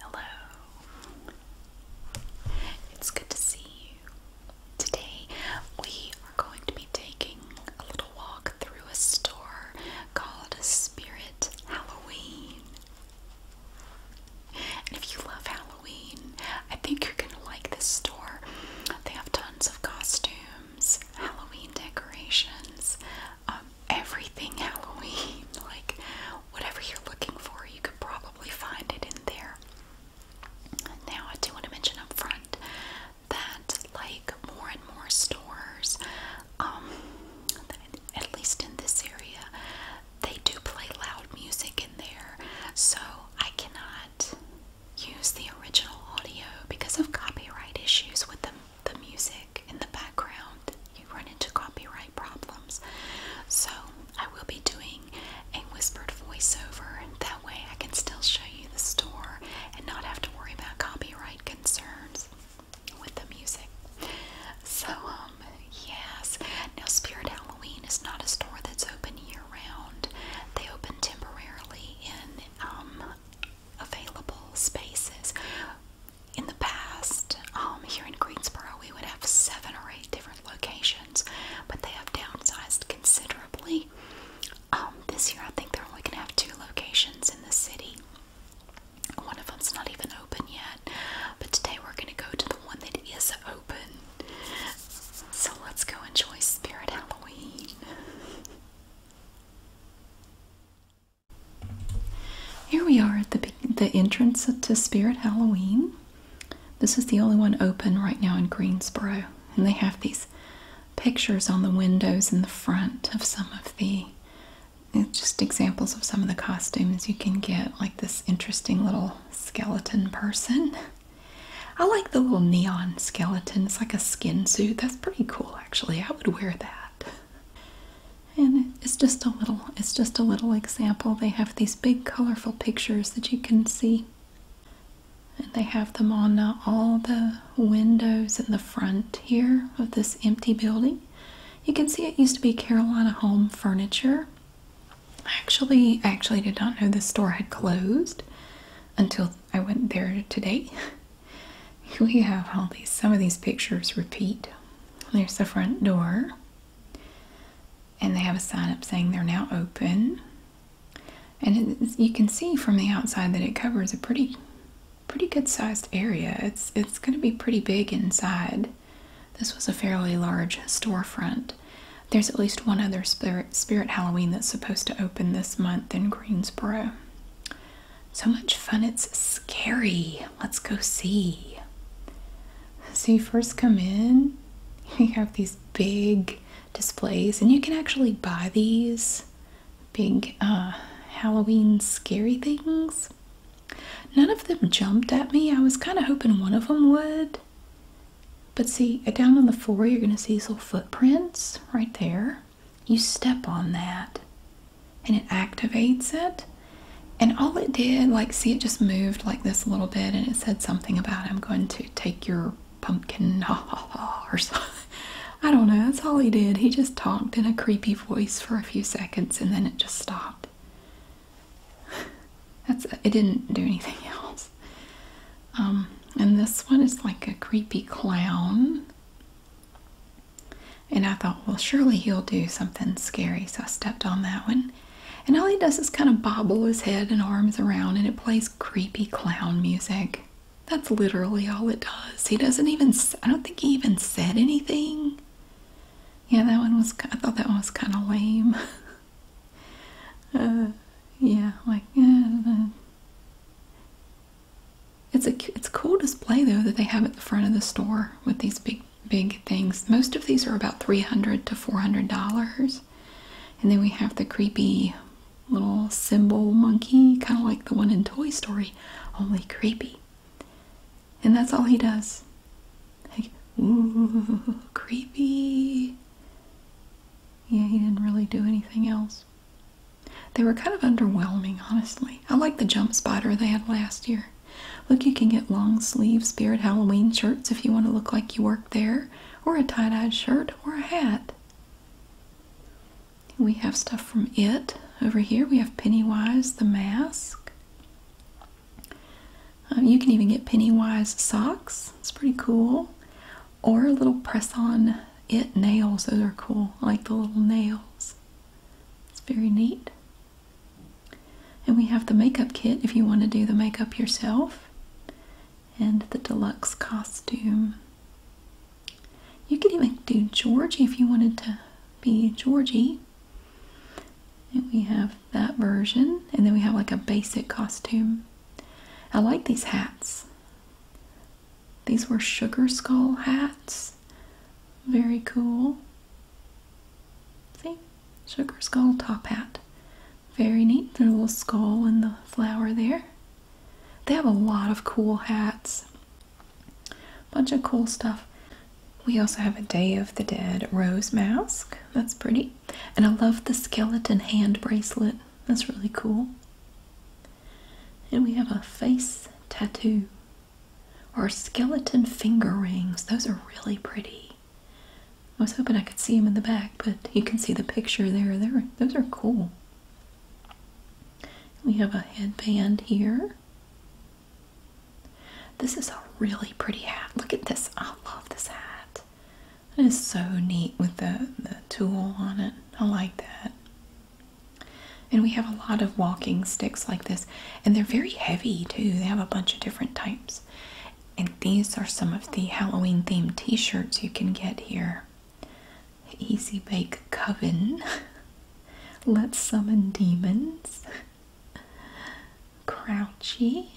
Hello. It's good to see you. Today we are going to be taking a little walk through a store called Spirit Halloween. And if you love Halloween, I think you're going to like this store. They have tons of costumes, Halloween decorations, uh, everything Halloween. Like, whatever you're looking for, you could probably find it in there. Now, I do want to mention up front that, like, more and more stores, um, at least in this area, they do play loud music in there. So, I cannot use the original audio because of copyright issues with the, the music in the background run into copyright problems. So I will be doing a whispered voiceover. That way I can still show you the store and not have to worry about copyright concerns with the music. So, um, yes. Now, Spirit Halloween is not a store that's open year round. They open temporarily in um, available spaces in the past, um, here in Greensboro, we would have seven or eight different locations, but they have downsized considerably. Um, this year, I think they're only going to have two locations in the city. One of them's not even open yet, but today we're going to go to the one that is open. So let's go enjoy Spirit Halloween. Here we are at the the entrance to Spirit Halloween. This is the only one open right now in Greensboro, and they have these pictures on the windows in the front of some of the eh, just examples of some of the costumes you can get, like this interesting little skeleton person. I like the little neon skeleton. It's like a skin suit. That's pretty cool, actually. I would wear that and it's just a little it's just a little example they have these big colorful pictures that you can see and they have them on uh, all the windows in the front here of this empty building you can see it used to be carolina home furniture I actually actually did not know the store had closed until I went there today. we have all these some of these pictures repeat. There's the front door. And they have a sign up saying they're now open. And you can see from the outside that it covers a pretty pretty good sized area. It's it's going to be pretty big inside. This was a fairly large storefront. There's at least one other Spirit, Spirit Halloween that's supposed to open this month in Greensboro. So much fun, it's scary. Let's go see. So you first come in, you have these big displays, and you can actually buy these big uh, Halloween scary things. None of them jumped at me. I was kind of hoping one of them would. But see, uh, down on the floor, you're going to see little footprints right there. You step on that and it activates it. And all it did, like, see, it just moved like this a little bit, and it said something about I'm going to take your pumpkin, ha or something. I don't know. That's all he did. He just talked in a creepy voice for a few seconds, and then it just stopped. That's it. Didn't do anything else. Um, and this one is like a creepy clown. And I thought, well, surely he'll do something scary. So I stepped on that one and all he does is kind of bobble his head and arms around, and it plays creepy clown music. That's literally all it does. He doesn't even, I don't think he even said anything. Yeah, that one was, I thought that one was kind of lame. Uh, yeah, like, uh, it's a, it's a cool display though that they have at the front of the store with these big big, things. Most of these are about $300 to $400. And then we have the creepy little symbol monkey, kind of like the one in Toy Story, only creepy. And that's all he does. Like, ooh, creepy. Yeah, he didn't really do anything else. They were kind of underwhelming, honestly. I like the jump spider they had last year. Look, you can get long sleeve spirit Halloween shirts if you want to look like you work there, or a tie dyed shirt or a hat. We have stuff from it over here. We have Pennywise the mask. Um, you can even get Pennywise socks. It's pretty cool. Or a little press on it nails. Those are cool. like the little nails. It's very neat. And we have the makeup kit if you want to do the makeup yourself, and the deluxe costume. You could even do Georgie if you wanted to be Georgie. And we have that version, and then we have like a basic costume. I like these hats. These were sugar skull hats. Very cool. See? sugar skull top hat. Very neat. There's little skull and the flower there. They have a lot of cool hats. Bunch of cool stuff. We also have a Day of the Dead rose mask. That's pretty. And I love the skeleton hand bracelet. That's really cool. And we have a face tattoo Our skeleton finger rings. Those are really pretty. I was hoping I could see him in the back, but you can see the picture there. they those are cool. We have a headband here. This is a really pretty hat. Look at this. I love this hat. It is so neat with the, the tool on it. I like that. And we have a lot of walking sticks like this. And they're very heavy too. They have a bunch of different types. And these are some of the Halloween themed t shirts you can get here. Easy Bake Coven. Let's Summon Demons. Crouchy.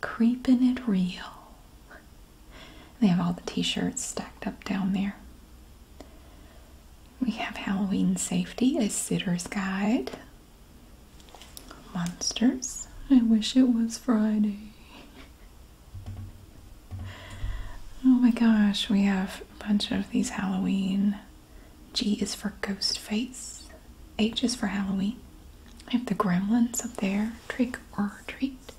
Creeping It Real. They have all the t shirts stacked up down there. We have Halloween Safety, a Sitter's Guide. Monsters. I wish it was Friday. Oh my gosh, we have a bunch of these Halloween. G is for ghost face. H is for Halloween. I have the gremlins up there. Trick or treat.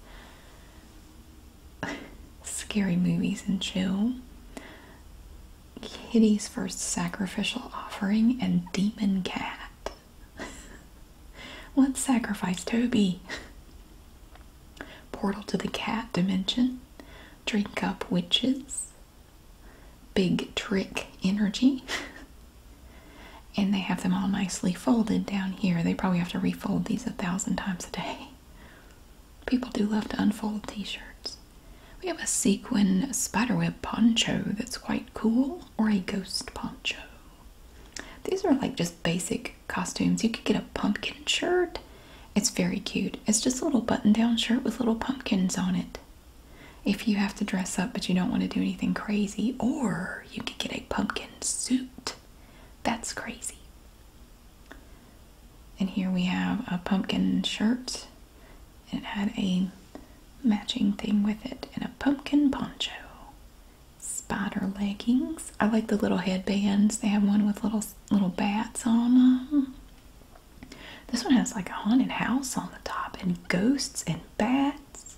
Scary movies and chill. Kitty's first sacrificial offering and demon cat. What sacrifice Toby. Portal to the cat dimension. Drink up witches. Big trick energy. and they have them all nicely folded down here. They probably have to refold these a thousand times a day. People do love to unfold t shirts. We have a sequin spiderweb poncho that's quite cool, or a ghost poncho. These are like just basic costumes. You could get a pumpkin shirt. It's very cute. It's just a little button down shirt with little pumpkins on it. If you have to dress up but you don't want to do anything crazy, or you could get a pumpkin suit. That's crazy. And here we have a pumpkin shirt it had a matching thing with it and a pumpkin poncho. Spider leggings. I like the little headbands. They have one with little little bats on them. This one has like a haunted house on the top and ghosts and bats.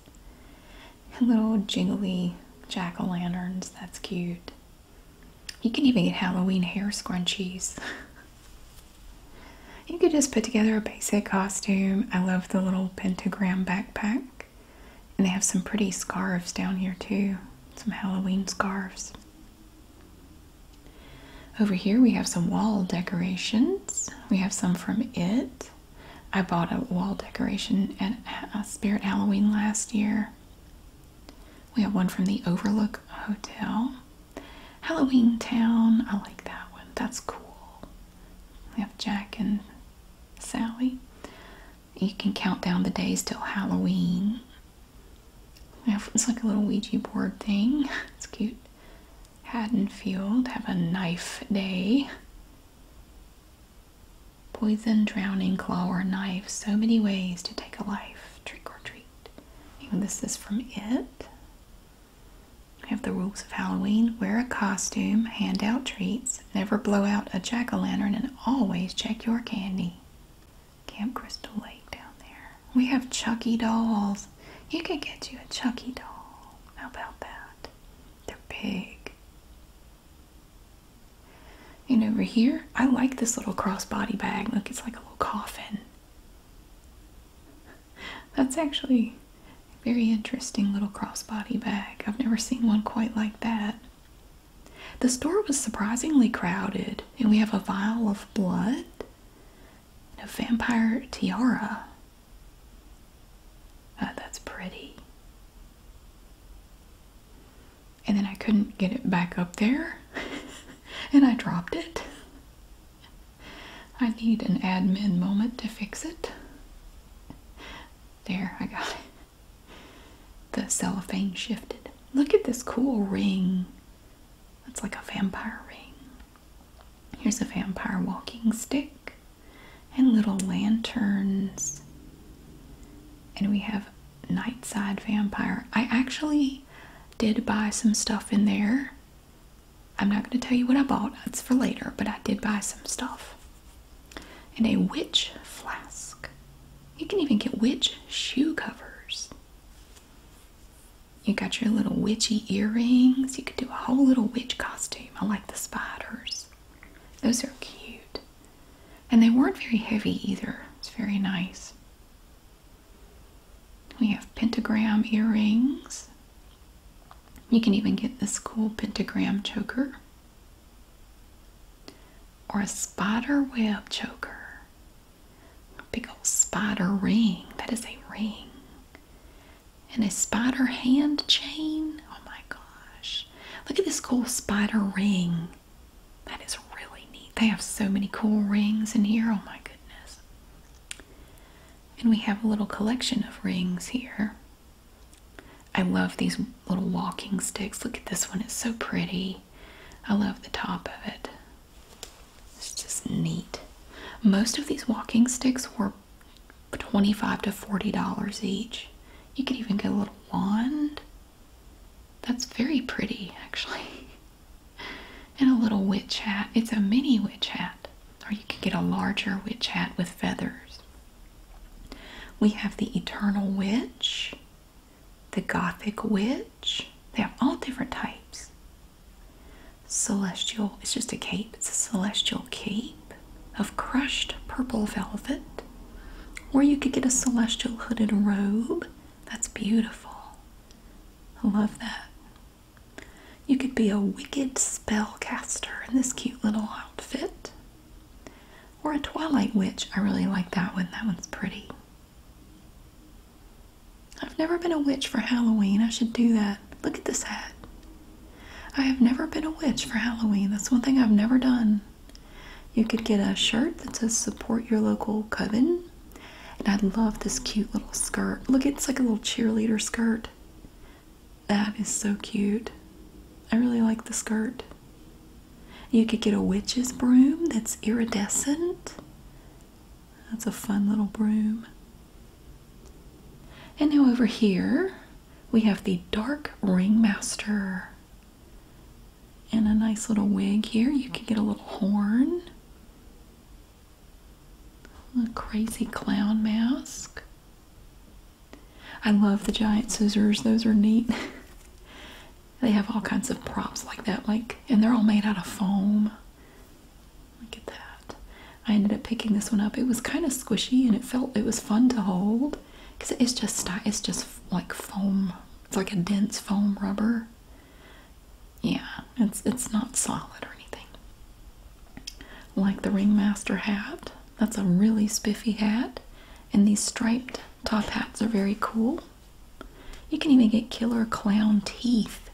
And little jingly jack-o'-lanterns. That's cute. You can even get Halloween hair scrunchies. You could just put together a basic costume. I love the little pentagram backpack. And they have some pretty scarves down here too. Some Halloween scarves. Over here we have some wall decorations. We have some from It. I bought a wall decoration at Spirit Halloween last year. We have one from the Overlook Hotel. Halloween Town. I like that one. That's cool. We have Jack and Sally. You can count down the days till Halloween. Have, it's like a little Ouija board thing. It's cute. Haddonfield. Have a knife day. Poison, drowning, claw, or knife. So many ways to take a life. Trick or treat. this is from It have the rules of Halloween wear a costume, hand out treats, never blow out a jack o' lantern, and always check your candy. Camp Crystal Lake down there. We have Chucky dolls. You could get you a Chucky doll. How about that? They're big. And over here, I like this little crossbody bag. Look, it's like a little coffin. That's actually a very interesting little crossbody bag. I've never seen one quite like that. The store was surprisingly crowded, and we have a vial of blood and a vampire tiara. Uh, that's pretty. And then I couldn't get it back up there, and I dropped it. I need an admin moment to fix it. There, I got it. The cellophane shifted. Look at this cool ring. That's like a vampire ring. Here's a vampire walking stick and little lanterns. And we have night side Vampire. I actually did buy some stuff in there I'm not going to tell you what I bought, that's for later, but I did buy some stuff. And a witch flask. You can even get witch shoe covers. You got your little witchy earrings. You could do a whole little witch costume. I like the spiders, those are cute. And they weren't very heavy either, it's very nice. We have pentagram earrings. You can even get this cool pentagram choker or a spider web choker. A big old spider ring. That is a ring. And a spider hand chain. Oh my gosh. Look at this cool spider ring. That is really neat. They have so many cool rings in here. Oh my goodness. And we have a little collection of rings here. I love these little walking sticks. Look at this one, it's so pretty. I love the top of it. It's just neat. Most of these walking sticks were 25 to 40 dollars each. You can even get a little wand. That's very pretty actually. And a little witch hat. It's a mini witch hat or you could get a larger witch hat with feathers. We have the Eternal Witch, the Gothic Witch. They have all different types. Celestial, it's just a cape, it's a celestial cape of crushed purple velvet. Or you could get a celestial hooded robe. That's beautiful. I love that. You could be a wicked spellcaster in this cute little outfit. Or a Twilight Witch. I really like that one. That one's pretty. I've never been a witch for Halloween. I should do that. Look at this hat. I have never been a witch for Halloween. That's one thing I've never done. You could get a shirt that says support your local coven. And I love this cute little skirt. Look, it's like a little cheerleader skirt. That is so cute. I really like the skirt. You could get a witch's broom that's iridescent. That's a fun little broom. And now over here, we have the dark ringmaster. And a nice little wig here. You could get a little horn. A crazy clown mask. I love the giant scissors. Those are neat. they have all kinds of props like that, like and they're all made out of foam. Look at that. I ended up picking this one up. It was kind of squishy and it felt it was fun to hold because it's just it's just like foam. It's like a dense foam rubber. Yeah, it's it's not solid or anything like the ringmaster hat. That's a really spiffy hat. And these striped top hats are very cool. You can even get killer clown teeth.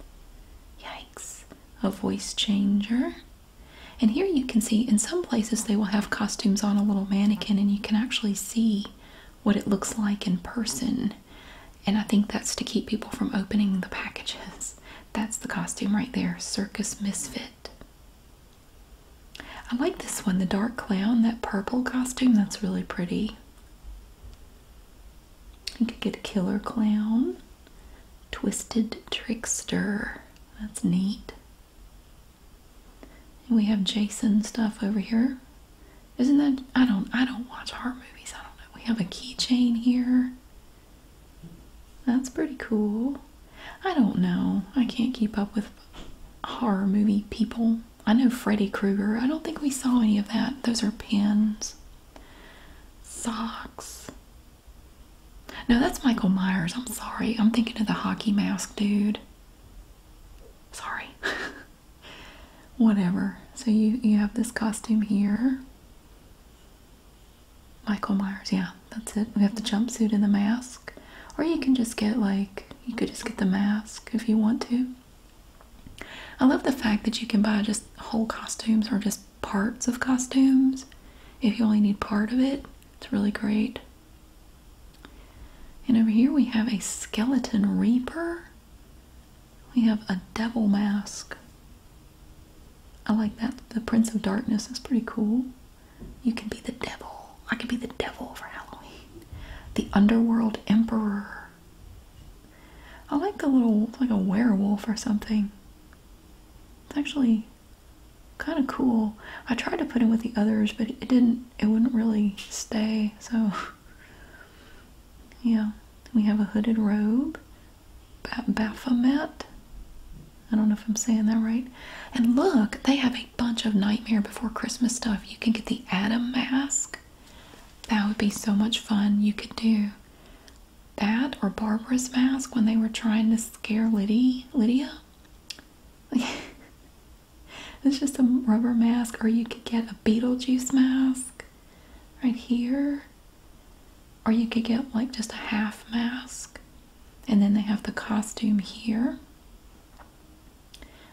Yikes. A voice changer. And here you can see in some places they will have costumes on a little mannequin and you can actually see what it looks like in person. And I think that's to keep people from opening the packages. That's the costume right there, Circus Misfit. I like this one, the dark clown, that purple costume, that's really pretty. You could get a killer clown, twisted trickster, that's neat. we have Jason stuff over here. Isn't that I don't I don't watch horror movies. I don't know. We have a keychain here. That's pretty cool. I don't know. I can't keep up with horror movie people. I know Freddy Krueger. I don't think we saw any of that. Those are pins. Socks. No, that's Michael Myers. I'm sorry. I'm thinking of the hockey mask dude. Sorry. Whatever. So you you have this costume here. Michael Myers, yeah, that's it. We have the jumpsuit and the mask. Or you can just get like, you could just get the mask if you want to. I love the fact that you can buy just whole costumes or just parts of costumes if you only need part of it. It's really great. And over here we have a skeleton reaper. We have a devil mask. I like that. The Prince of Darkness is pretty cool. You can be the devil. I can be the devil for Halloween. The Underworld Emperor. I like the little, like a werewolf or something. It's actually kind of cool. I tried to put it with the others, but it didn't, it wouldn't really stay. So, yeah. We have a hooded robe. Baphomet. I don't know if I'm saying that right. And look, they have a bunch of Nightmare Before Christmas stuff. You can get the Adam mask. That would be so much fun. You could do that or Barbara's mask when they were trying to scare Lydia. Lydia. it's just a rubber mask, or you could get a Beetlejuice mask right here. Or you could get like just a half mask, and then they have the costume here.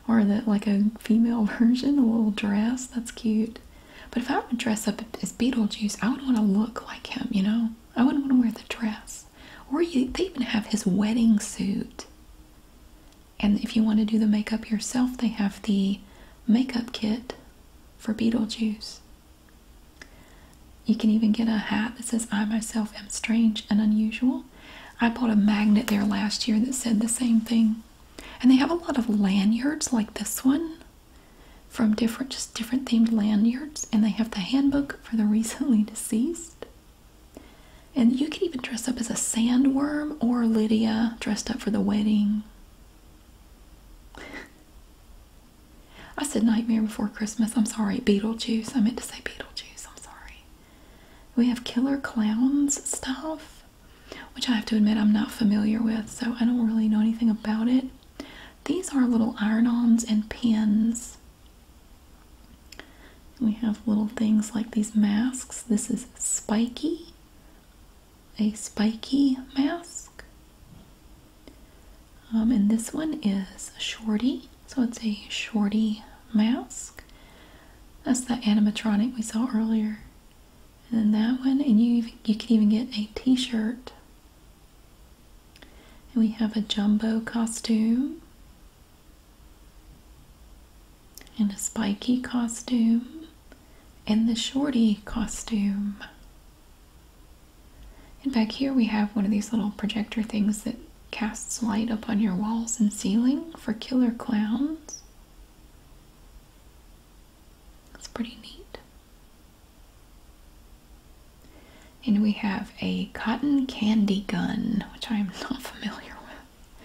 Or the like a female version, a little dress. That's cute. But if I were to dress up as Beetlejuice, I would want to look like him, you know? I wouldn't want to wear the dress. Or they even have his wedding suit. And if you want to do the makeup yourself, they have the makeup kit for Beetlejuice. You can even get a hat that says, I myself am strange and unusual. I bought a magnet there last year that said the same thing. And they have a lot of lanyards like this one from different, just different themed lanyards. And they have the handbook for the recently deceased. And you can even dress up as a sandworm or Lydia dressed up for the wedding. I said Nightmare Before Christmas. I'm sorry, Beetlejuice. I meant to say Beetlejuice. I'm sorry. We have Killer Clowns stuff, which I have to admit I'm not familiar with, so I don't really know anything about it. These are little iron ons and pins. We have little things like these masks. This is spiky, a spiky mask. Um, and this one is Shorty, so it's a Shorty mask. That's the animatronic we saw earlier. And then that one, and you you can even get a T-shirt. And we have a jumbo costume and a spiky costume and the shorty costume. And back here we have one of these little projector things that casts light upon your walls and ceiling for killer clowns. That's pretty neat. And we have a cotton candy gun, which I am not familiar with.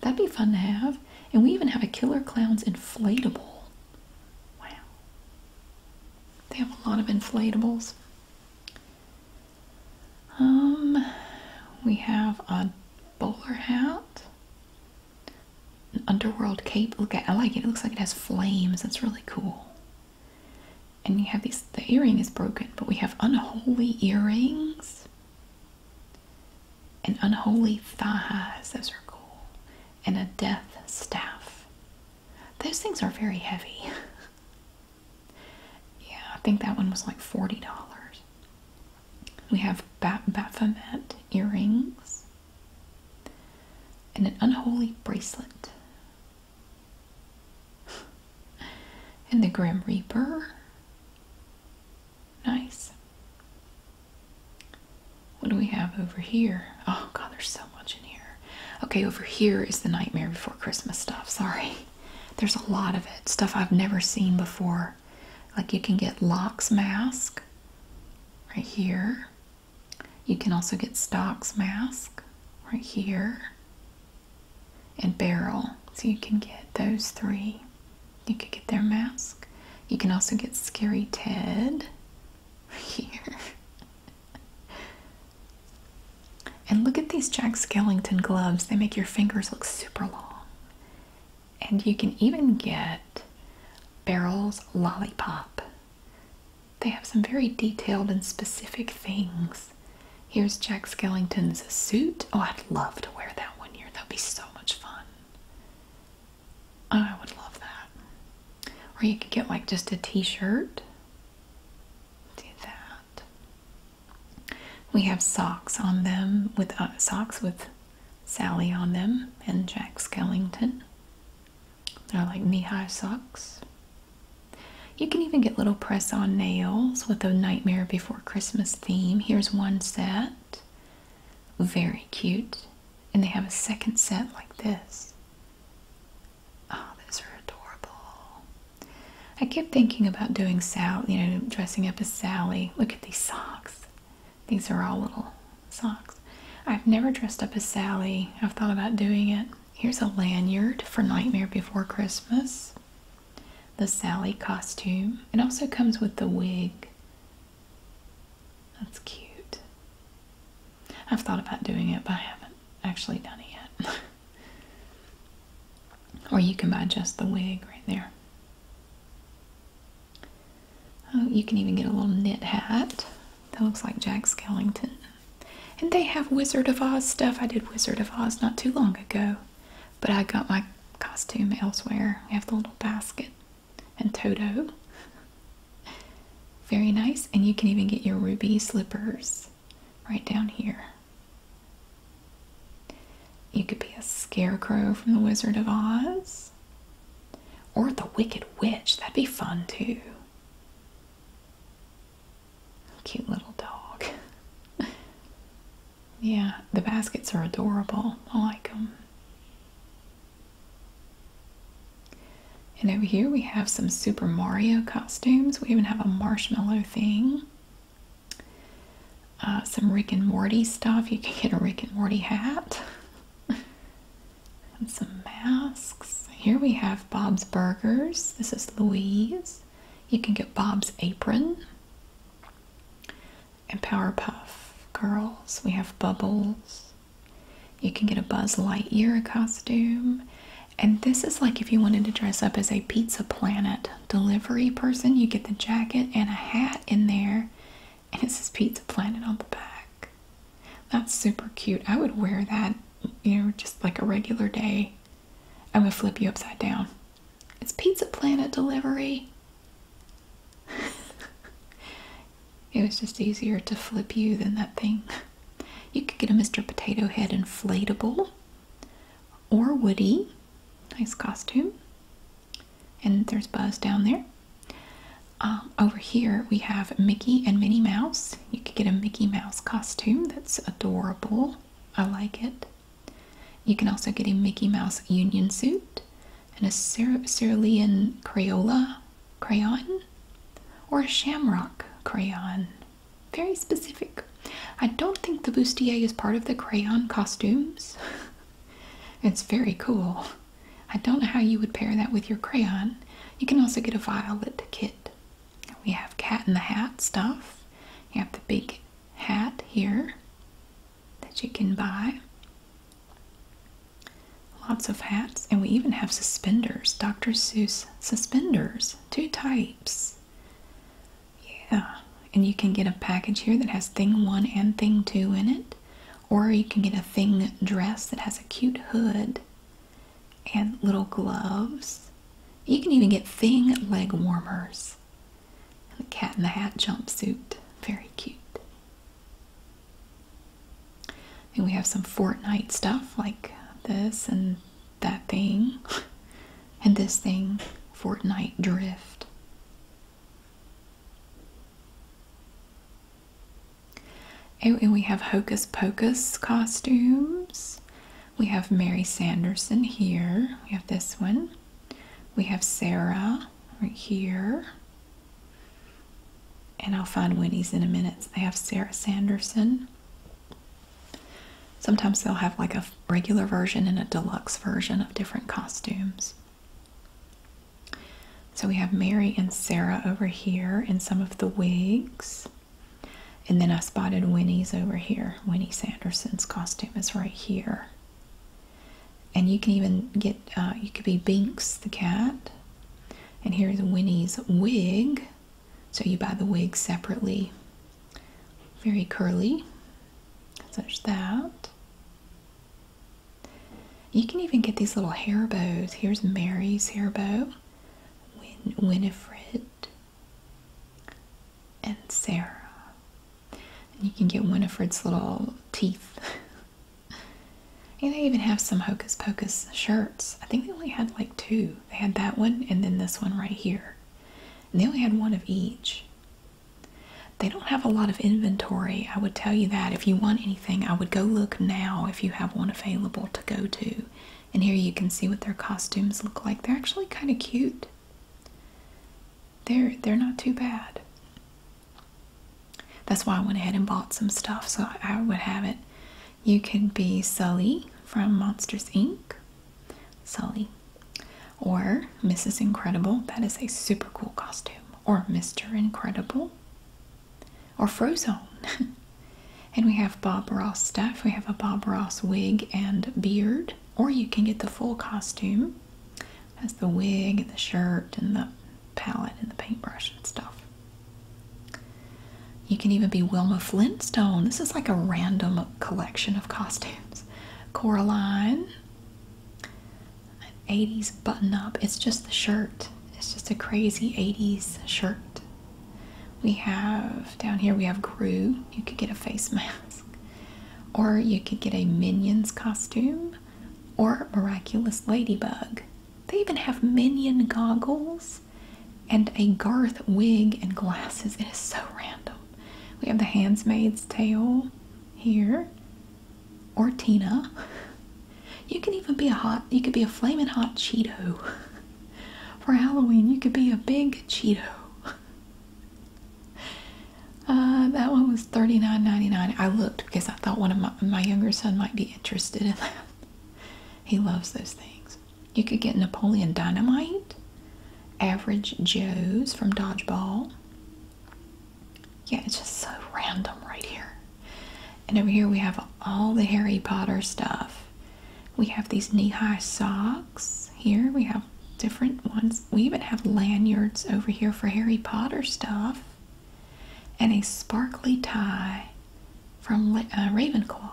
That'd be fun to have. And we even have a Killer Clowns inflatable. Wow. They have a lot of inflatables. Um, we have a bowler hat, an underworld cape. Look, I like it. It looks like it has flames. That's really cool. And you have these. The earring is broken, but we have unholy earrings and unholy thighs. as our cool. And a death staff. Those things are very heavy. yeah, I think that one was like $40. We have Baphomet earrings and an unholy bracelet. and the Grim Reaper. Nice. What do we have over here? Oh, God, there's so much in here. Okay, over here is the nightmare before Christmas stuff. Sorry. There's a lot of it. Stuff I've never seen before. Like you can get Locks' mask right here. You can also get Stock's mask right here. And Barrel. So you can get those three. You could get their mask. You can also get Scary Ted here and look at these Jack Skellington gloves. They make your fingers look super long. And you can even get Barrel's Lollipop. They have some very detailed and specific things. Here's Jack Skellington's suit. Oh, I'd love to wear that one year. That would be so much fun. Oh, I would love that. Or you could get like just a t shirt we have socks on them with uh, socks with Sally on them and Jack Skellington. They're like knee-high socks. You can even get little press-on nails with a Nightmare Before Christmas theme. Here's one set. Very cute. And they have a second set like this. Oh, those are adorable. I keep thinking about doing Sally. you know, dressing up as Sally. Look at these socks. These are all little socks. I've never dressed up as Sally. I've thought about doing it. Here's a lanyard for Nightmare Before Christmas. The Sally costume. It also comes with the wig. That's cute. I've thought about doing it, but I haven't actually done it yet. Or you can buy just the wig right there. Oh, you can even get a little knit hat that looks like Jack Skellington. And they have Wizard of Oz stuff. I did Wizard of Oz not too long ago, but I got my costume elsewhere. We have the little basket and Toto. Very nice. And you can even get your ruby slippers right down here. You could be a scarecrow from The Wizard of Oz. Or the Wicked Witch. That'd be fun too. Cute little dog. yeah, the baskets are adorable. I like them. And over here we have some Super Mario costumes. We even have a marshmallow thing. Uh, some Rick and Morty stuff. You can get a Rick and Morty hat. and some masks. Here we have Bob's Burgers. This is Louise. You can get Bob's Apron. And Powerpuff Girls. We have Bubbles. You can get a Buzz Lightyear costume. And this is like if you wanted to dress up as a Pizza Planet delivery person, you get the jacket and a hat in there, and it says Pizza Planet on the back. That's super cute. I would wear that, you know, just like a regular day. I'm gonna flip you upside down. It's Pizza Planet delivery. it was just easier to flip you than that thing. You could get a Mr. Potato Head inflatable or Woody. Nice costume. And there's Buzz down there. Um, over here we have Mickey and Minnie Mouse. You can get a Mickey Mouse costume. That's adorable. I like it. You can also get a Mickey Mouse union suit and a Cer cerulean Crayola crayon or a shamrock crayon very specific. I don't think the bustier is part of the crayon costumes. it's very cool. I don't know how you would pair that with your crayon. You can also get a violet kit. We have cat in the hat stuff. You have the big hat here that you can buy. Lots of hats, and we even have suspenders, Dr. Seuss suspenders, two types. Yeah, and you can get a package here that has thing one and thing two in it, or you can get a thing dress that has a cute hood and little gloves. You can even get thing leg warmers The cat in the hat jumpsuit. Very cute. And we have some Fortnite stuff like this and that thing and this thing, Fortnite Drift. Oh, and we have Hocus Pocus costumes. We have Mary Sanderson here. We have this one. We have Sarah right here. And I'll find Winnie's in a minute. They have Sarah Sanderson. Sometimes they'll have like a regular version and a deluxe version of different costumes. So we have Mary and Sarah over here in some of the wigs. And then I spotted Winnie's over here. Winnie Sanderson's costume is right here. And you can even get, uh, you could be Binks the cat. And here's Winnie's wig. So you buy the wig separately very curly, such that. You can even get these little hair bows. Here's Mary's hair bow, Winifred, and Sarah. you can get Winifred's little teeth. and they even have some Hocus Pocus shirts. I think they only had like two. They had that one and then this one right here they only had one of each. They don't have a lot of inventory. I would tell you that. If you want anything, I would go look now if you have one available to go to. And here you can see what their costumes look like. They're actually kind of cute. They're, they're not too bad. That's why I went ahead and bought some stuff so I would have it. You can be Sully from Monsters Inc. Sully. Or Mrs. Incredible, that is a super cool costume. Or Mr. Incredible. Or Frozen. and we have Bob Ross stuff. We have a Bob Ross wig and beard. Or you can get the full costume. That's the wig and the shirt and the palette and the paintbrush and stuff. You can even be Wilma Flintstone. This is like a random collection of costumes. Coraline, 80s button up. It's just the shirt. It's just a crazy 80s shirt. We have down here, we have Gru. You could get a face mask, or you could get a Minions costume, or Miraculous Ladybug. They even have Minion goggles and a Garth wig and glasses. It is so random. We have the Handmaid's Tale here, or Tina. You can even be a hot, you could be a flaming hot Cheeto. For Halloween, you could be a big Cheeto. Uh, that one was $39.99. I looked because I thought one of my, my younger son might be interested in that. He loves those things. You could get Napoleon Dynamite, Average Joe's from Dodgeball. Yeah, it's just so random right here. And over here we have all the Harry Potter stuff. We have these knee-high socks. Here we have different ones. We even have lanyards over here for Harry Potter stuff. And a sparkly tie from uh, Ravenclaw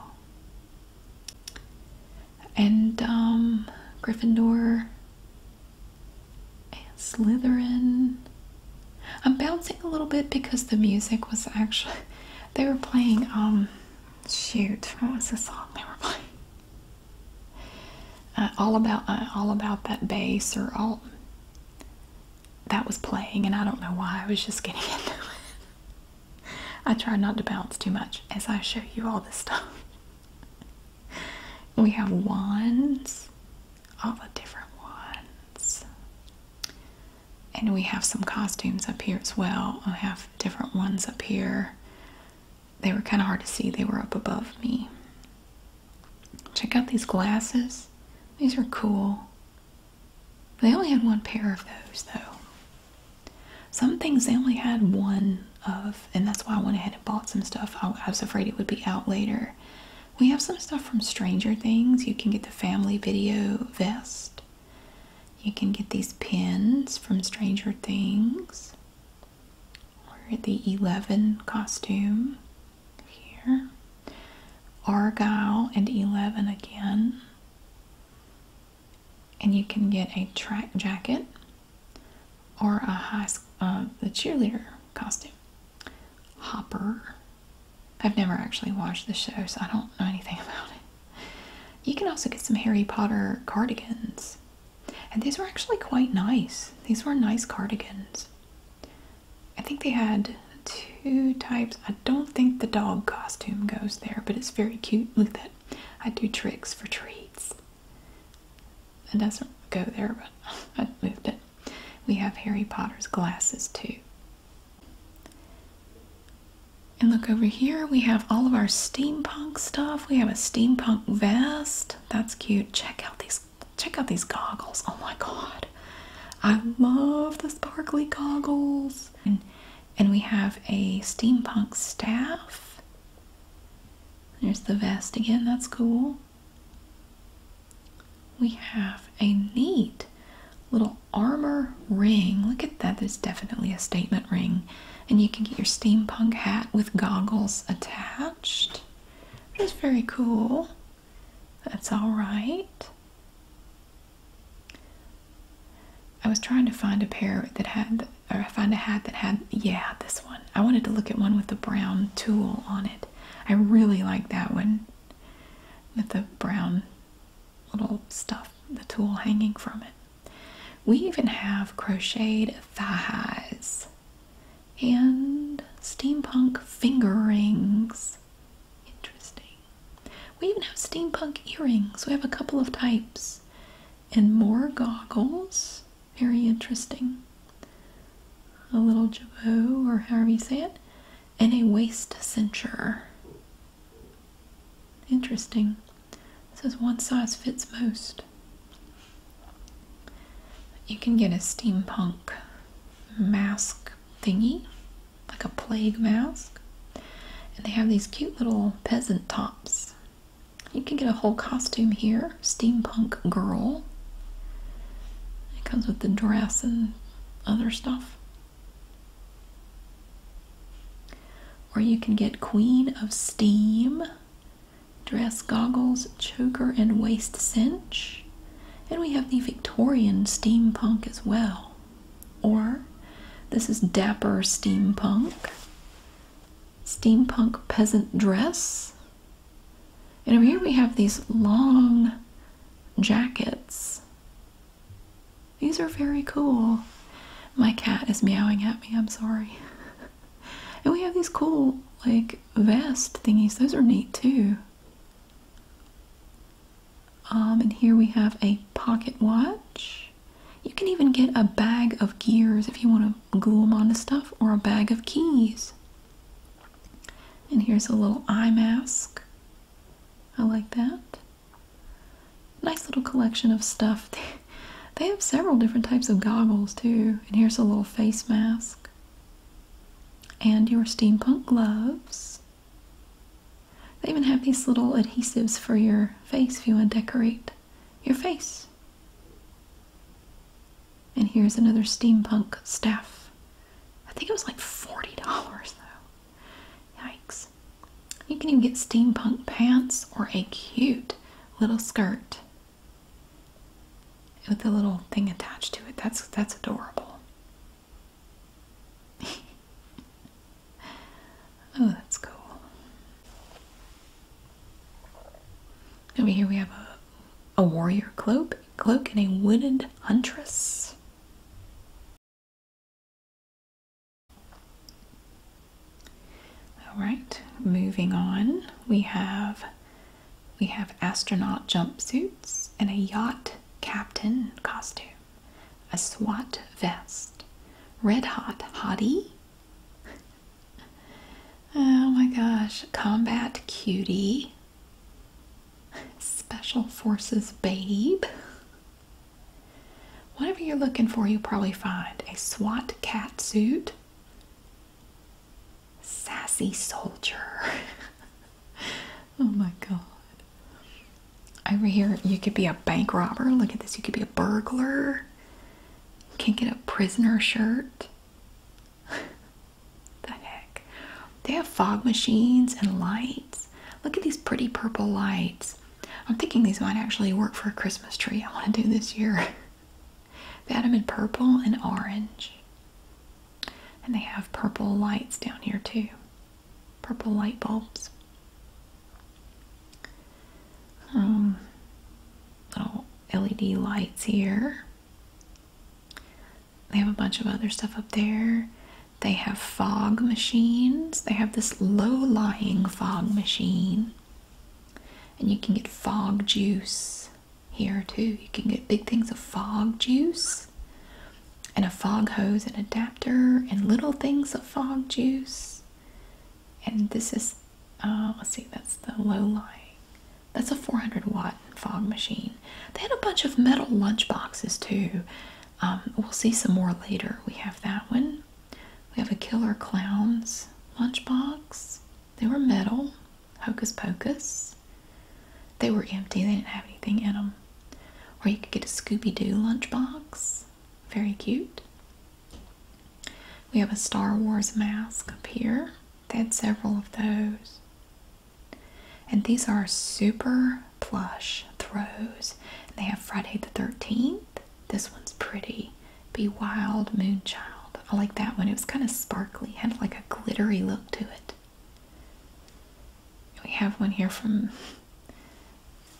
and um, Gryffindor and Slytherin. I'm bouncing a little bit because the music was actually they were playing um shoot what was the song they were playing uh, all about uh, all about that bass or all that was playing and I don't know why I was just getting into it I try not to bounce too much as I show you all this stuff. we have wands, all the different wands. And we have some costumes up here as well. We have different ones up here. They were kind of hard to see, they were up above me. Check out these glasses. These are cool. They only had one pair of those though. Some things they only had one of, and that's why I went ahead and bought some stuff. I, was afraid it would be out later. We have some stuff from Stranger Things. You can get the family video vest. You can get these pins from Stranger Things. We're at the 11 costume here. Argyle and 11 again and you can get a track jacket or a high uh, the cheerleader costume. Hopper. I've never actually watched the show, so I don't know anything about it. You can also get some Harry Potter cardigans. And these were actually quite nice. These were nice cardigans. I think they had two types. I don't think the dog costume goes there, but it's very cute. Look at that I do tricks for treats. It doesn't go there, but I moved it. We have Harry Potter's glasses too. And look over here, we have all of our steampunk stuff. We have a steampunk vest. That's cute. Check out these check out these goggles. Oh my god. I love the sparkly goggles. And, and we have a steampunk staff there's the vest again, that's cool. We have a neat little armor ring. Look at that, there's definitely a statement ring. And you can get your steampunk hat with goggles attached, That's very cool. That's all right. I was trying to find a pair that had or find a hat that had yeah this one i wanted to look at one with the brown tulle on it i really like that one with the brown little stuff the tulle hanging from it we even have crocheted thigh highs and steampunk finger rings interesting we even have steampunk earrings we have a couple of types and more goggles. Very interesting. A little jabot, or however you say it, and a waist cincher. Interesting. says one size fits most. You can get a steampunk mask thingy, like a plague mask. And they have these cute little peasant tops. You can get a whole costume here. Steampunk girl. It comes with the dress and other stuff. Or you can get Queen of Steam, dress goggles, choker, and waist cinch. And we have the Victorian steampunk as well. Or this is Dapper Steampunk steampunk peasant dress. And over here we have these long jackets. These are very cool. My cat is meowing at me, I'm sorry. and we have these cool, like, vest thingies. Those are neat too. Um, and here we have a pocket watch. You can even get a bag of gears if you want to glue them onto stuff, or a bag of keys. And here's a little eye mask. I like that. Nice little collection of stuff. they have several different types of goggles too. And here's a little face mask. And your steampunk gloves. They even have these little adhesives for your face if you want to decorate your face. And here's another steampunk staff. I think it was like $40 though. Yikes. You can even get steampunk pants or a cute little skirt with a little thing attached to it. That's that's adorable. Oh, that's cool. Over here we have a, a warrior cloak, cloak and a wooded huntress. All right, moving on. We have we have astronaut jumpsuits and a yacht captain costume, a SWAT vest, red hot hottie oh my gosh. Combat cutie. Special forces babe. Whatever you're looking for, you'll probably find a SWAT cat suit. Sassy soldier. oh my god. Over here, you could be a bank robber. Look at this. You could be a burglar. Can't get a prisoner shirt. the heck? They have fog machines and lights. Look at these pretty purple lights. I'm thinking these might actually work for a Christmas tree I want to do this year. they had them in purple and orange. And they have purple lights down here too. Purple light bulbs um, little LED lights here. They have a bunch of other stuff up there. They have fog machines. They have this low lying fog machine. And you can get fog juice here too. You can get big things of fog juice and a fog hose and adapter and little things of fog juice and this is uh, let's see that's the low light. that's a 400 watt fog machine they had a bunch of metal lunch boxes too um, we'll see some more later we have that one we have a killer clowns lunchbox they were metal hocus pocus they were empty they didn't have anything in them or you could get a scooby-doo lunchbox very cute we have a Star Wars mask up here. They had several of those. And these are super plush throws. They have Friday the 13th. This one's pretty. Be Wild Moonchild. I like that one. It was kind of sparkly, had like a glittery look to it. We have one here from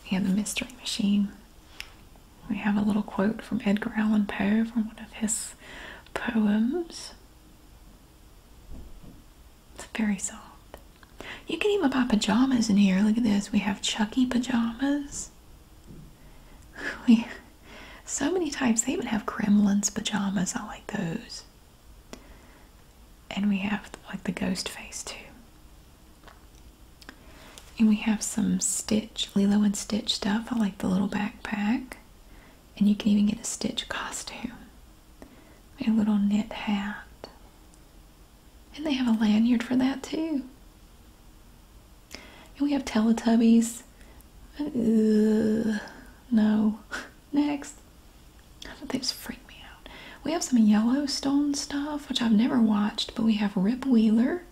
yeah, the Mystery Machine. We have a little quote from Edgar Allan Poe from one of his poems. It's very soft. You can even buy pajamas in here. Look at this. We have Chucky pajamas. We so many types. They even have Kremlin's pajamas. I like those. And we have like the ghost face too. And we have some Stitch, Lilo and Stitch stuff. I like the little backpack. And you can even get a Stitch costume. A little knit hat. And they have a lanyard for that too. And we have Teletubbies. Ugh, no. Next. I They just freak me out. We have some Yellowstone stuff, which I've never watched, but we have Rip Wheeler.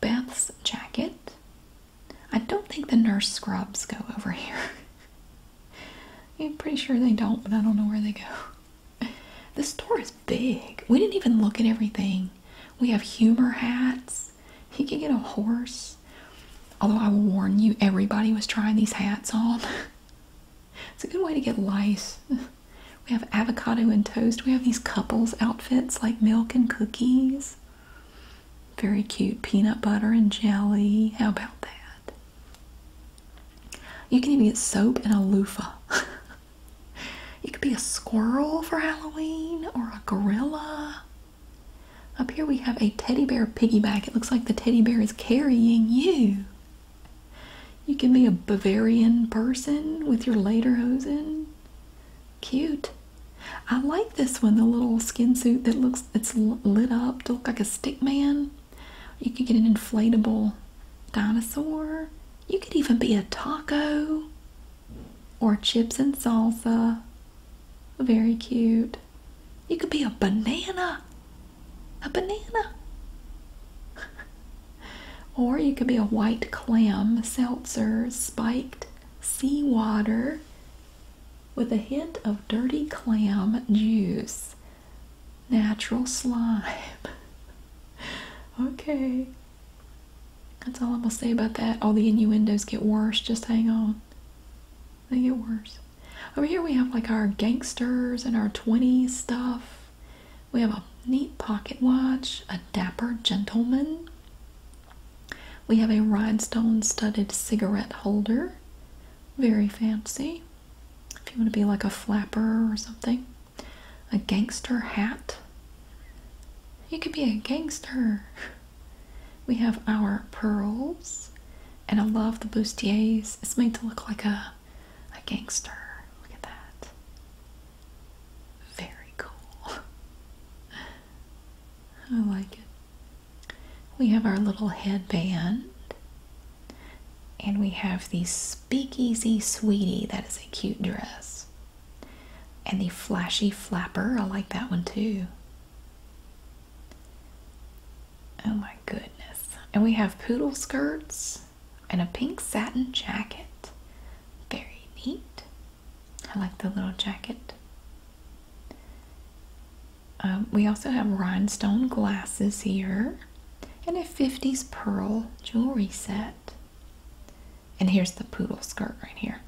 Beth's jacket. I don't think the nurse scrubs go over here. I'm pretty sure they don't, but I don't know where they go. This store is big. We didn't even look at everything. We have humor hats. You can get a horse. Although I will warn you, everybody was trying these hats on. it's a good way to get lice. We have avocado and toast. We have these couples outfits like milk and cookies. Very cute. Peanut butter and jelly. How about that? You can even get soap and a loofah. you could be a squirrel for Halloween or a gorilla. Up here we have a teddy bear piggyback. It looks like the teddy bear is carrying you. You can be a Bavarian person with your lederhosen. Cute. I like this one, the little skin suit that looks, it's lit up to look like a stick man. You could get an inflatable dinosaur. You could even be a taco or chips and salsa. Very cute. You could be a banana. A banana. or you could be a white clam seltzer spiked Sea water, with a hint of dirty clam juice. Natural slime. okay. That's all I'm going to say about that. All the innuendos get worse. Just hang on. They get worse. Over here we have like our gangsters and our 20s stuff. We have a neat pocket watch, a dapper gentleman, we have a rhinestone studded cigarette holder. Very fancy. If you want to be like a flapper or something, a gangster hat. You could be a gangster. We have our pearls, and I love the bustiers. It's made to look like a, a gangster. Look at that. Very cool. I like it. We have our little headband. And we have the Speakeasy Sweetie. That is a cute dress. And the Flashy Flapper. I like that one too. Oh my goodness. And we have poodle skirts and a pink satin jacket. Very neat. I like the little jacket. Um, we also have rhinestone glasses here and a 50s pearl jewelry set. And here's the poodle skirt right here.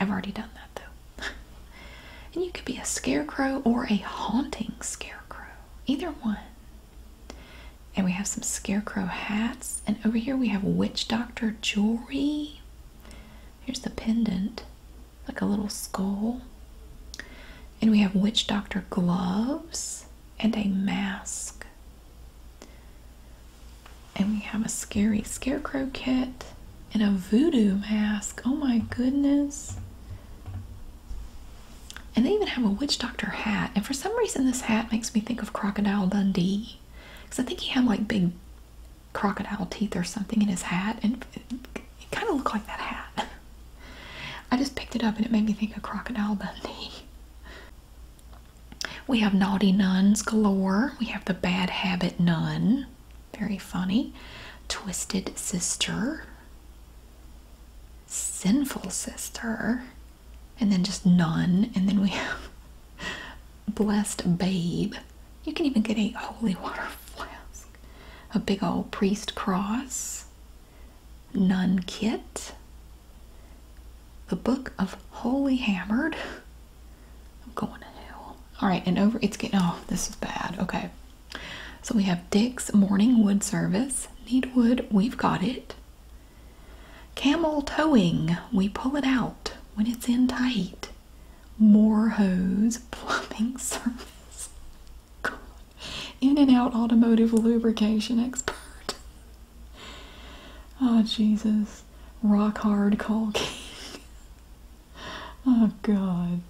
I've already done that though. and you could be a scarecrow or a haunting scarecrow, either one. And we have some scarecrow hats. And over here we have witch doctor jewelry. Here's the pendant, like a little skull. And we have witch doctor gloves and a mask. And we have a scary scarecrow kit and a voodoo mask. Oh my goodness. And they even have a witch doctor hat. And for some reason, this hat makes me think of Crocodile Dundee. Because I think he had like big crocodile teeth or something in his hat, and it, kind of looked like that hat. I just picked it up and it made me think of Crocodile Dundee. We have Naughty Nuns galore. We have the Bad Habit Nun. Very funny. Twisted Sister. Sinful Sister. And then just Nun. And then we have blessed babe. You can even get a holy water flask, a big old priest cross, nun kit, the book of Holy Hammered. I'm going to hell. All right, and over it's getting oh, this is bad. Okay. So we have Dick's Morning Wood Service. Need wood, we've got it. Camel towing, we pull it out when it's in tight. Heat, more hose, plumbing service, God. in and out automotive lubrication expert. Oh, Jesus. Rock hard call king. oh, God.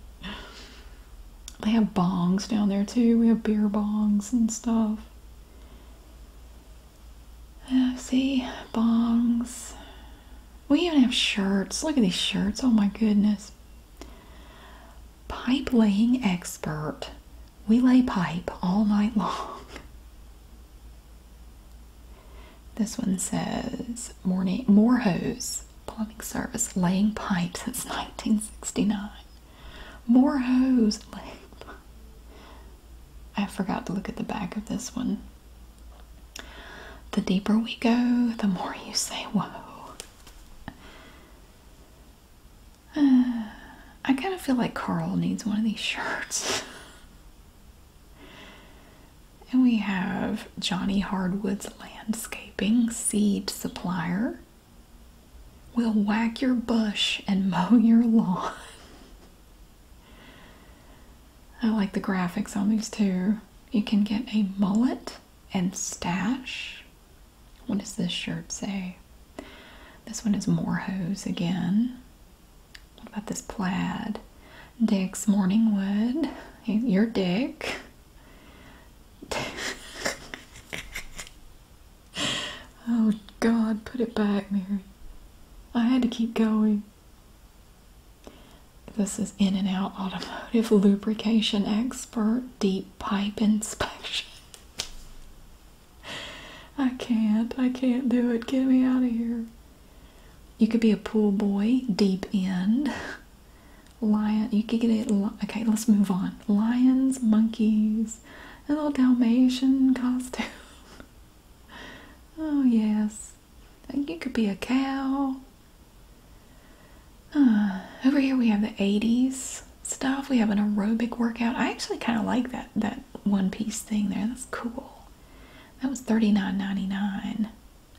They have bongs down there, too. We have beer bongs and stuff. Uh, see, bongs. We even have shirts. Look at these shirts. Oh my goodness. Pipe laying expert. We lay pipe all night long. This one says morning more hose plumbing service laying pipe since 1969. More hose laying I forgot to look at the back of this one. The deeper we go, the more you say, Whoa. Uh, I kind of feel like Carl needs one of these shirts. and we have Johnny Hardwood's Landscaping Seed Supplier. We'll whack your bush and mow your lawn. I like the graphics on these too. You can get a mullet and stash. What does this shirt say? This one is more hose again. What about this plaid? Dick's morning wood. Your dick. oh God, put it back, Mary. I had to keep going. This is In and Out Automotive Lubrication Expert Deep Pipe Inspection. I can't. I can't do it. Get me out of here. You could be a pool boy, deep end. Lion, you could get it. Okay, let's move on. Lions, monkeys, a little Dalmatian costume. oh, yes. You could be a cow. Uh, over here we have the 80s stuff. We have an aerobic workout. I actually kind of like that that one piece thing there. That's cool. That was thirty nine ninety nine.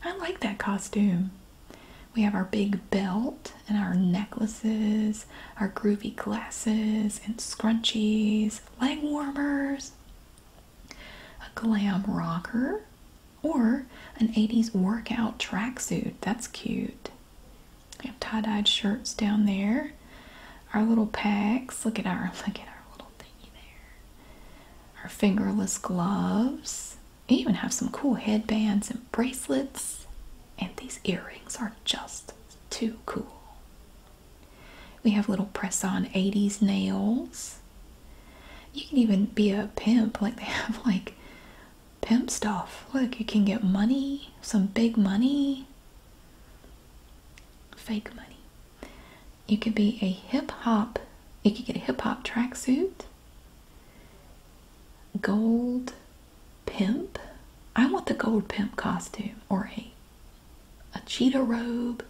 I like that costume. We have our big belt and our necklaces, our groovy glasses and scrunchies, leg warmers a glam rocker, or an 80s workout tracksuit. That's cute. We have tie-dyed shirts down there. Our little packs. Look at our look at our little thingy there. Our fingerless gloves. We even have some cool headbands and bracelets. And these earrings are just too cool. We have little press-on 80s nails. You can even be a pimp, like they have like pimp stuff. Look, you can get money, some big money, fake money. You could be a hip hop, you could get a hip hop tracksuit, gold pimp. I want the gold pimp costume or a a cheetah robe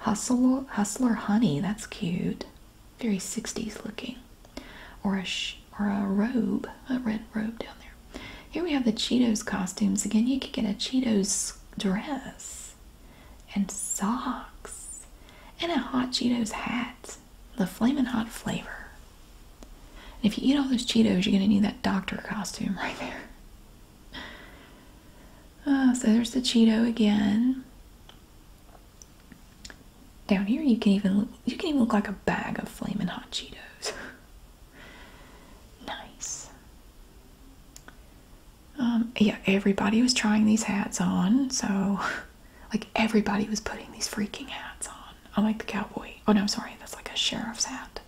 Hustle, Hustler Honey, that's cute. Very 60s looking. Or a, or a robe, a red robe down there. Here we have the Cheetos costumes. Again, you could get a Cheetos dress and socks and a Hot Cheetos hat. The flaming Hot flavor. if you eat all those Cheetos, you're going to need that doctor costume right there. Oh, so there's the Cheeto again. Down here, you can even look, you can even look like a bag of flaming hot Cheetos. nice. Um, yeah, everybody was trying these hats on, so like everybody was putting these freaking hats on. I'm like the cowboy. Oh no, sorry, that's like a sheriff's hat.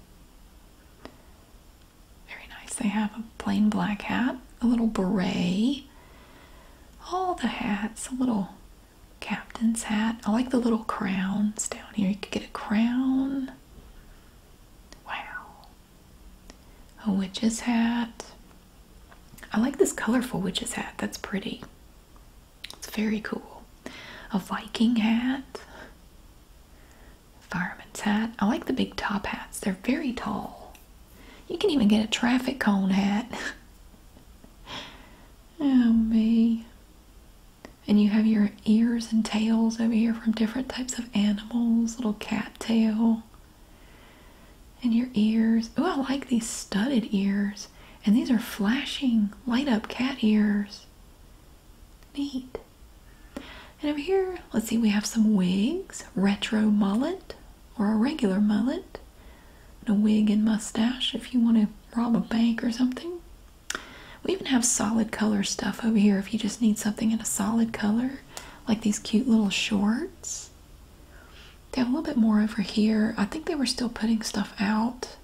Very nice. They have a plain black hat, a little beret. All the hats, a little captain's hat. I like the little crowns down here. You could get a crown. Wow. A witch's hat. I like this colorful witch's hat. That's pretty. It's very cool. A Viking hat. Fireman's hat. I like the big top hats. They're very tall. You can even get a traffic cone hat. oh, me. And you have your ears and tails over here from different types of animals, little cat tail. And your ears. Oh, I like these studded ears. And these are flashing, light up cat ears. Neat. And over here, let's see, we have some wigs, retro mullet or a regular mullet, a wig and mustache if you want to rob a bank or something. We even have solid color stuff over here if you just need something in a solid color, like these cute little shorts. They have a little bit more over here. I think they were still putting stuff out.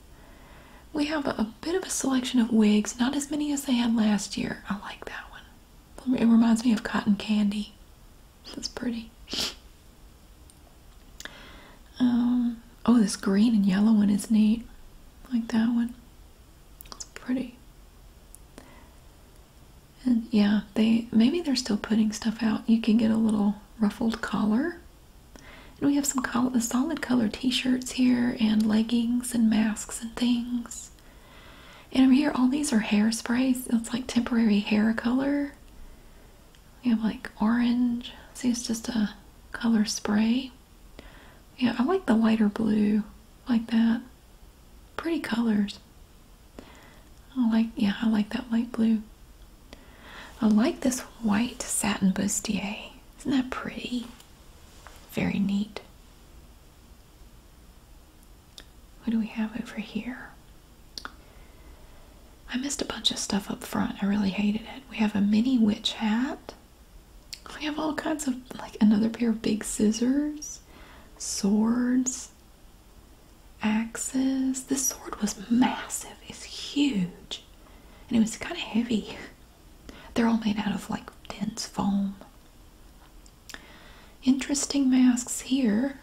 We have a bit of a selection of wigs, not as many as they had last year. I like that one. It reminds me of cotton candy. That's pretty. Um, oh, this green and yellow one is neat. Like that one. It's pretty. And yeah, they maybe they're still putting stuff out. You can get a little ruffled collar. And we have some solid color t-shirts here and leggings and masks and things. And over here, all these are hairsprays. It's like temporary hair color. We have like orange. See, it's just a color spray. Yeah, I like the lighter blue like that. Pretty colors. I like, yeah, I like that light blue. I like this white satin bustier. Isn't that pretty? Very neat. What do we have over here? I missed a bunch of stuff up front. I really hated it. We have a mini witch hat. We have all kinds of, like, another pair of big scissors, swords, axes. This sword was massive. It's huge. And it was kind of heavy. They're all made out of, like, dense foam. Interesting masks here.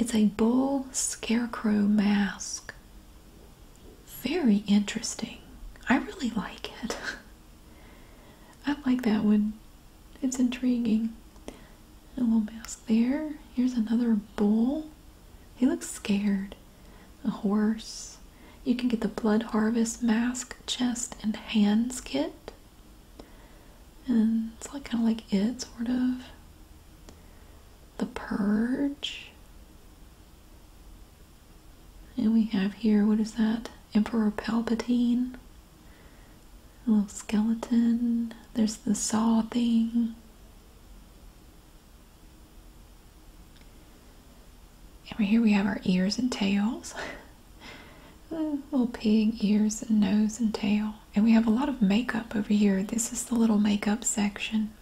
It's a bull scarecrow mask. Very interesting. I really like it. I like that one. It's intriguing. A little mask there. Here's another bull. He looks scared. A horse. You can get the Blood Harvest mask, chest, and hands kit. And it's like kind of like it, sort of. The Purge. And we have here, what is that? Emperor Palpatine. A little skeleton. There's the saw thing. And here we have our ears and tails. Uh, little pig ears and nose and tail. And we have a lot of makeup over here. This is the little makeup section.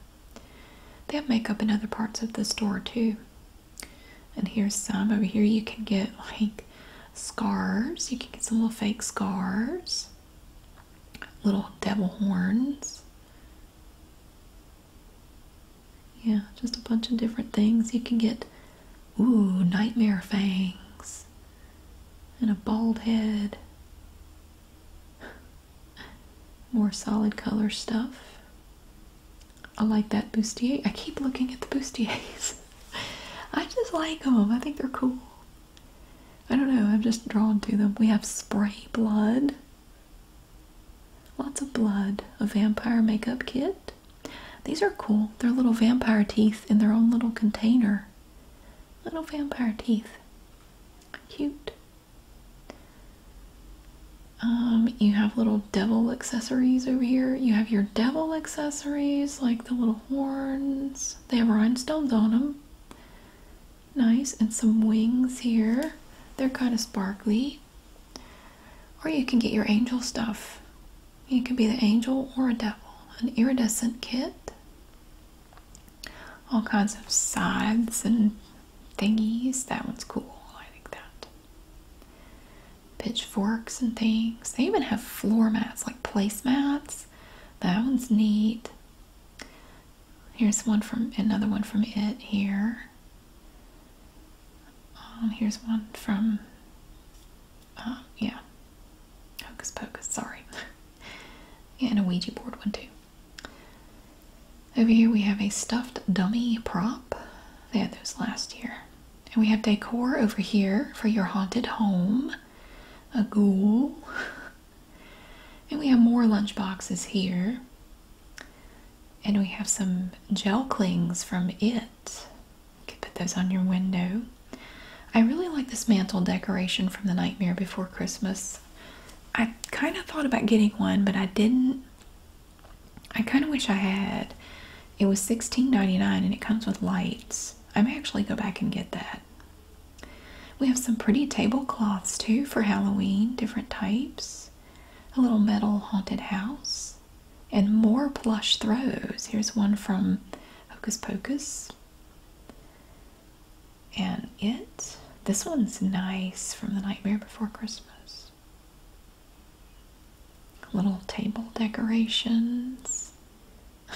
They have makeup in other parts of the store too. And here's some over here. You can get like scarves. You can get some little fake scars, little devil horns. Yeah, just a bunch of different things. You can get Ooh, nightmare fangs and a bald head. More solid color stuff. I like that bustier. I keep looking at the bustiers. I just like them. I think they're cool. I don't know. I'm just drawn to them. We have spray blood. Lots of blood. A vampire makeup kit. These are cool. They're little vampire teeth in their own little container. Little vampire teeth. Cute. Um, you have little devil accessories over here. You have your devil accessories, like the little horns. They have rhinestones on them. Nice. And some wings here. They're kind of sparkly. Or you can get your angel stuff. It could be the angel or a devil, an iridescent kit, all kinds of sides and thingies. That one's cool. I like that. Pitchforks and things. They even have floor mats, like placemats. That one's neat. Here's one from another one from it here. Um, here's one from Ah, yeah, hocus pocus, sorry. and a Ouija board one too. Over here we have a stuffed dummy prop. They had those last year. And we have decor over here for your haunted home. A ghoul. And we have more lunch boxes here. And we have some gel clings from It. You can put those on your window. I really like this mantle decoration from The Nightmare Before Christmas. I kind of thought about getting one, but I didn't. I kind of wish I had. It was $16.99 and it comes with lights. I may actually go back and get that. We have some pretty tablecloths too for Halloween, different types. A little metal haunted house. And more plush throws. Here's one from Hocus Pocus. And it, this one's nice from the Nightmare Before Christmas. Little table decorations.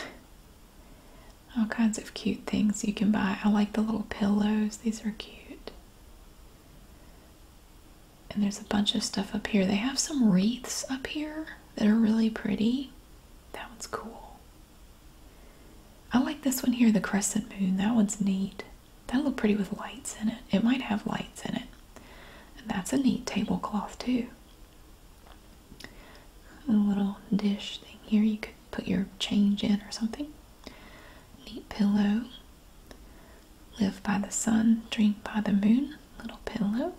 All kinds of cute things you can buy. I like the little pillows, these are cute. And there's a bunch of stuff up here. They have some wreaths up here that are really pretty. That one's cool. I like this one here, the crescent moon. That one's neat. That'll look pretty with lights in it. It might have lights in it. And that's a neat tablecloth too. A little dish thing here you could put your change in or something. Neat pillow. Live by the sun, drink by the moon. Little pillow.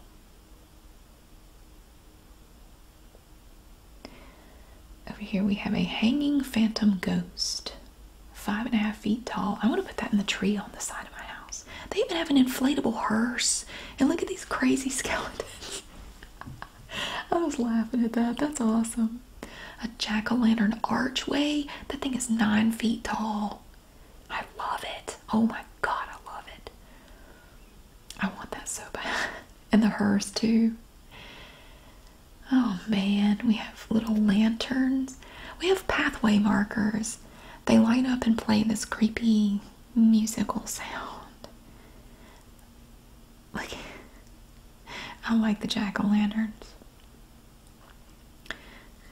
Over here we have a hanging phantom ghost, five and a half feet tall. I want to put that in the tree on the side of my house. They even have an inflatable hearse. And look at these crazy skeletons. I was laughing at that. That's awesome. A jack o' lantern archway. That thing is nine feet tall. I love it. Oh my god, I love it. I want that so bad. And the hers too. Oh man, we have little lanterns. We have pathway markers. They light up and play this creepy musical sound. Like, I like the jack o' lanterns.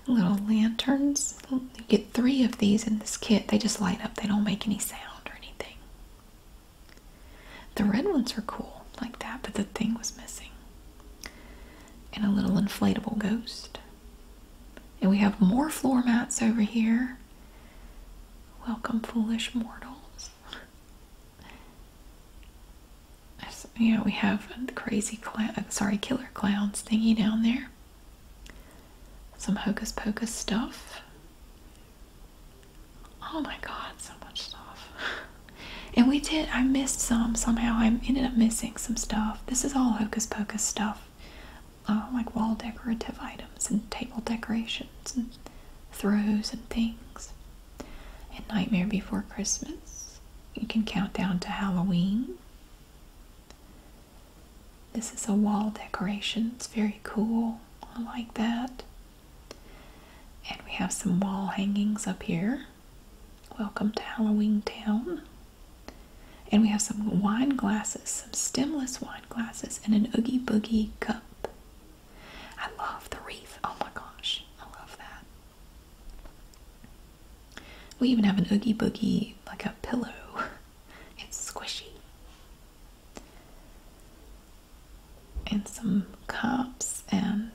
Little lanterns. You get three of these in this kit. They just light up, they don't make any sound or anything. The red ones are cool like that, but the thing was missing. And a little inflatable ghost. And we have more floor mats over here. Welcome, foolish mortals. you know, we have the crazy cl uh, sorry, killer clowns thingy down there. Some hocus pocus stuff. Oh my god, so much stuff. and we did, I missed some somehow. I ended up missing some stuff. This is all Hocus Pocus stuff. Uh, like wall decorative items and table decorations and throws and things. And Nightmare Before Christmas. You can count down to Halloween. This is a wall decoration. It's very cool. I like that. And we have some wall hangings up here. Welcome to Halloween Town. And we have some wine glasses, some stemless wine glasses, and an Oogie Boogie cup. I love the wreath. Oh my gosh, I love that. We even have an Oogie Boogie, like a pillow. It's squishy and some cups and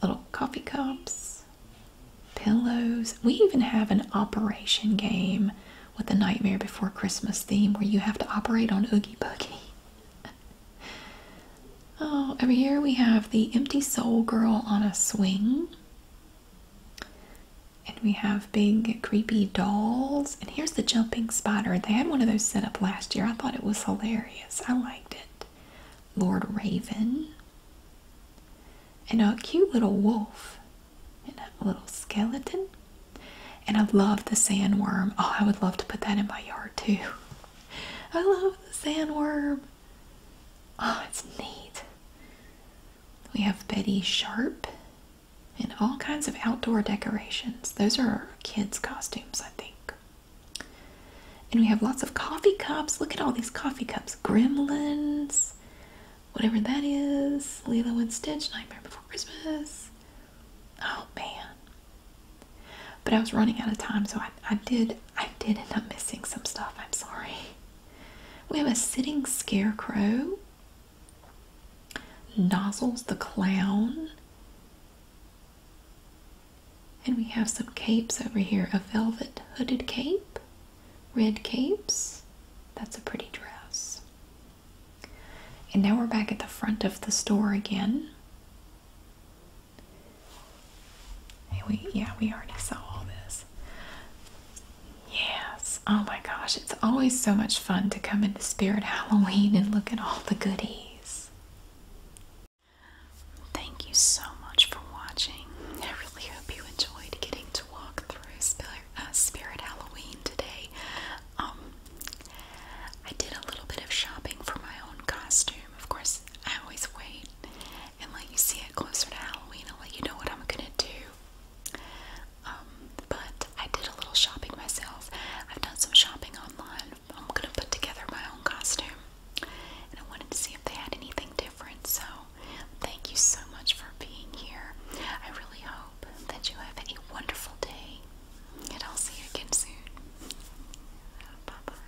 little coffee cups, pillows. We even have an operation game with the Nightmare Before Christmas theme where you have to operate on Oogie Boogie. oh, over here we have the Empty Soul Girl on a swing and we have big creepy dolls. And here's the jumping spider. They had one of those set up last year. I thought it was hilarious. I liked it. Lord Raven. And a cute little wolf. And a little skeleton. And I love the sandworm. Oh, I would love to put that in my yard too. I love the sandworm. Oh, it's neat. We have Betty Sharp and all kinds of outdoor decorations. Those are kids' costumes, I think. And we have lots of coffee cups. Look at all these coffee cups. Gremlins, whatever that is. Lilo and Stitch, Nightmare Before Christmas. Oh man. But I was running out of time, so I, I did I did end up missing some stuff. I'm sorry. We have a sitting scarecrow. Nozzles the Clown. And we have some capes over here a velvet hooded cape, red capes. That's a pretty dress. And now we're back at the front of the store again. we, yeah, we already saw all this. Yes. Oh my gosh, it's always so much fun to come into Spirit Halloween and look at all the goodies. Thank you so much for watching. I really hope you enjoyed getting to walk through Spirit, uh, Halloween today. Um, I did a little bit of shopping for my own costume. Of course, I always wait and let you see it closer to Halloween. i let you know what I'm gonna do. Um, but I did a little shopping myself. I've done some shopping online. I'm gonna put together my own costume, and I wanted to see if they had anything different. So, thank you so much for being here. I really hope that you have a wonderful day, and I'll see you again soon. Bye bye.